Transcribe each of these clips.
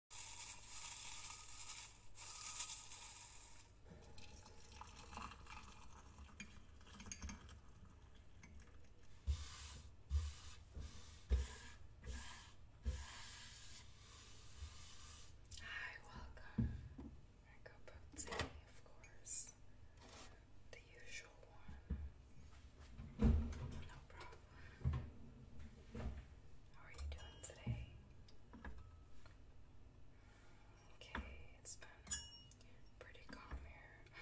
Hi, welcome. I go Bootsy, of course. The usual one. No problem. How are you doing today? Okay, it's been pretty calm here.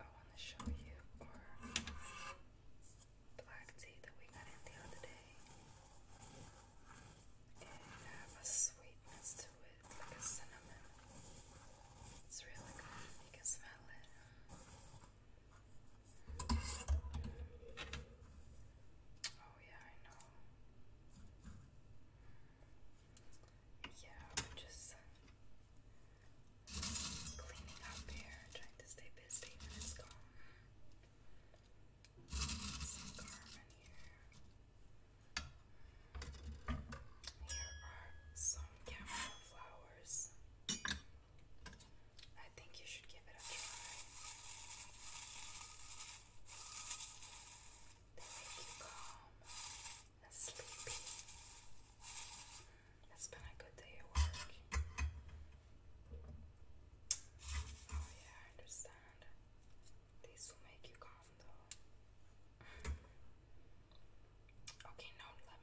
Oh, I want to show you our black tea that we got the other day. It have a sweetness to it, like a cinnamon. It's really good. You can smell it. Oh yeah, I know. Yeah, I'm just cleaning up here, trying to stay busy when it's gone. Some Carmen here. Here are some camera flowers. I think you should give it a try. They make you calm and sleepy. It's been a good day at work. Oh yeah, I understand. These will make you calm though. Okay, now let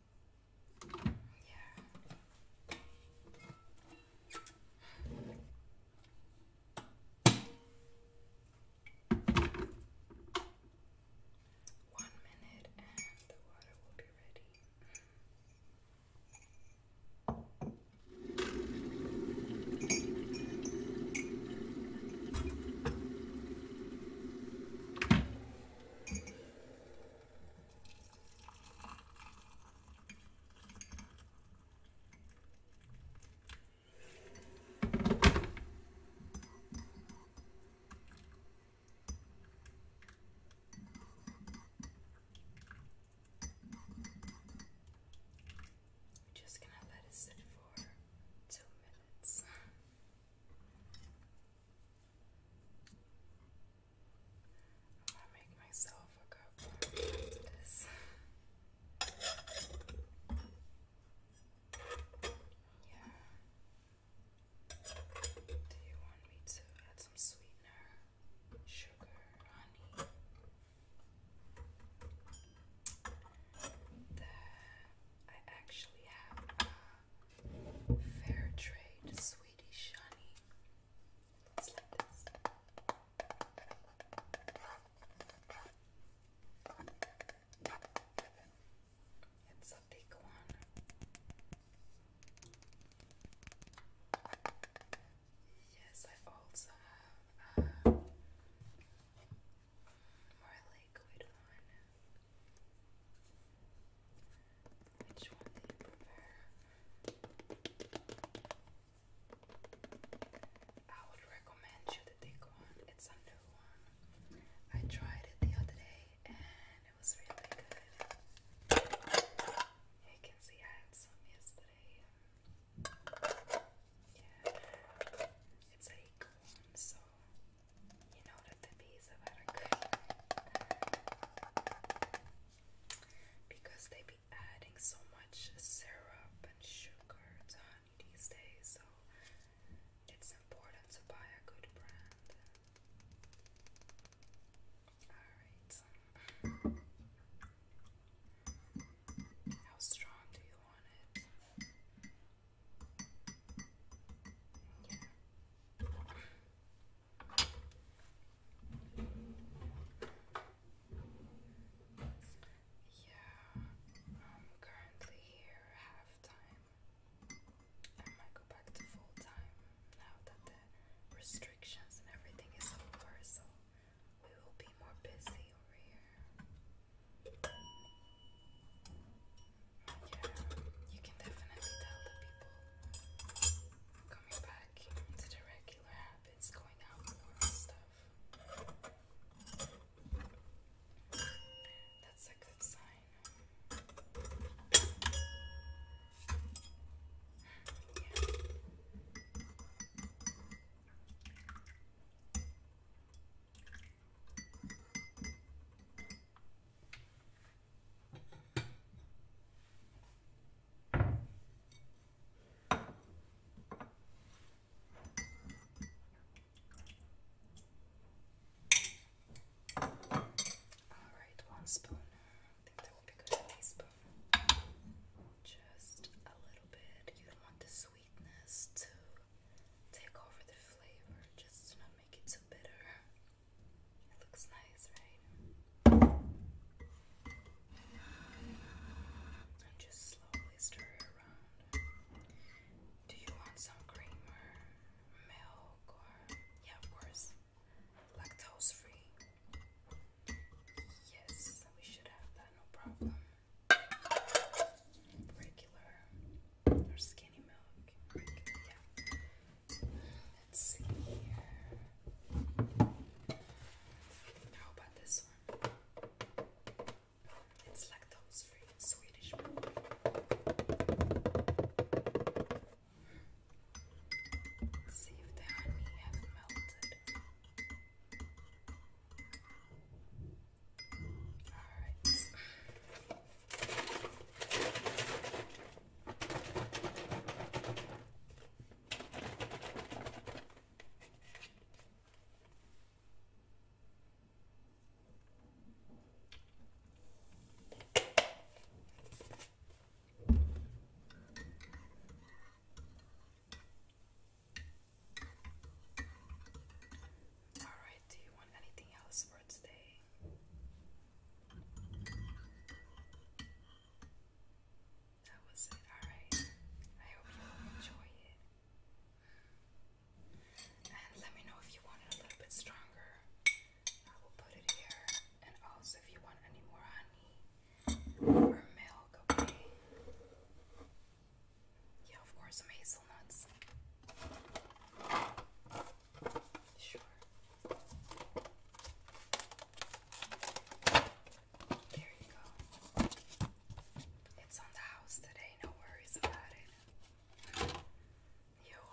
One minute and the water will be ready. We're just gonna let it sit for two minutes. I'm gonna make myself a cup of this. Yeah. Do you want me to add some sweetener, sugar, honey? That I actually have. Uh, Fair trade, Swedish honey. It's like this. It's a big one. Yes, I also have a uh, which one do you prefer? I would recommend you to take one. It's a new one. I tried it the other day and it was really good. You can see I had some yesterday. Yeah. It's a equal one, so you know that the bees have had a good because they be adding so much syrup and sugar to honey these days, so it's important to buy a good brand. Alright. How strong do you want it? Yeah, I'm currently here half time. I might go back to full time now that restrictions and everything is over, so we will be more busy over here you can definitely tell the people coming back into the regular habits, going out more stuff. That's a good sign. Yeah. Alright, one spoon. I think that will be good. A teaspoon. Just a little bit. You want the sweetness to take over the flavor, just to not make it too bitter. It looks nice, right? just slowly stir it around. Do you want some cream milk or yeah, of course, lactose free? Yes, we should have that, no problem. Regular Let's see here. How about this one? It's lactose free Swedish milk. see if the honey has melted. Alright. Alright, do you want anything else for today? That was it. Alright. I hope you enjoy it. And let me know if you want it a little bit stronger. I will put it here. And also if you want any more honey or milk, Yeah, of course, hazelnuts. Sure. There you go. It's on the house today, no worries about it. You're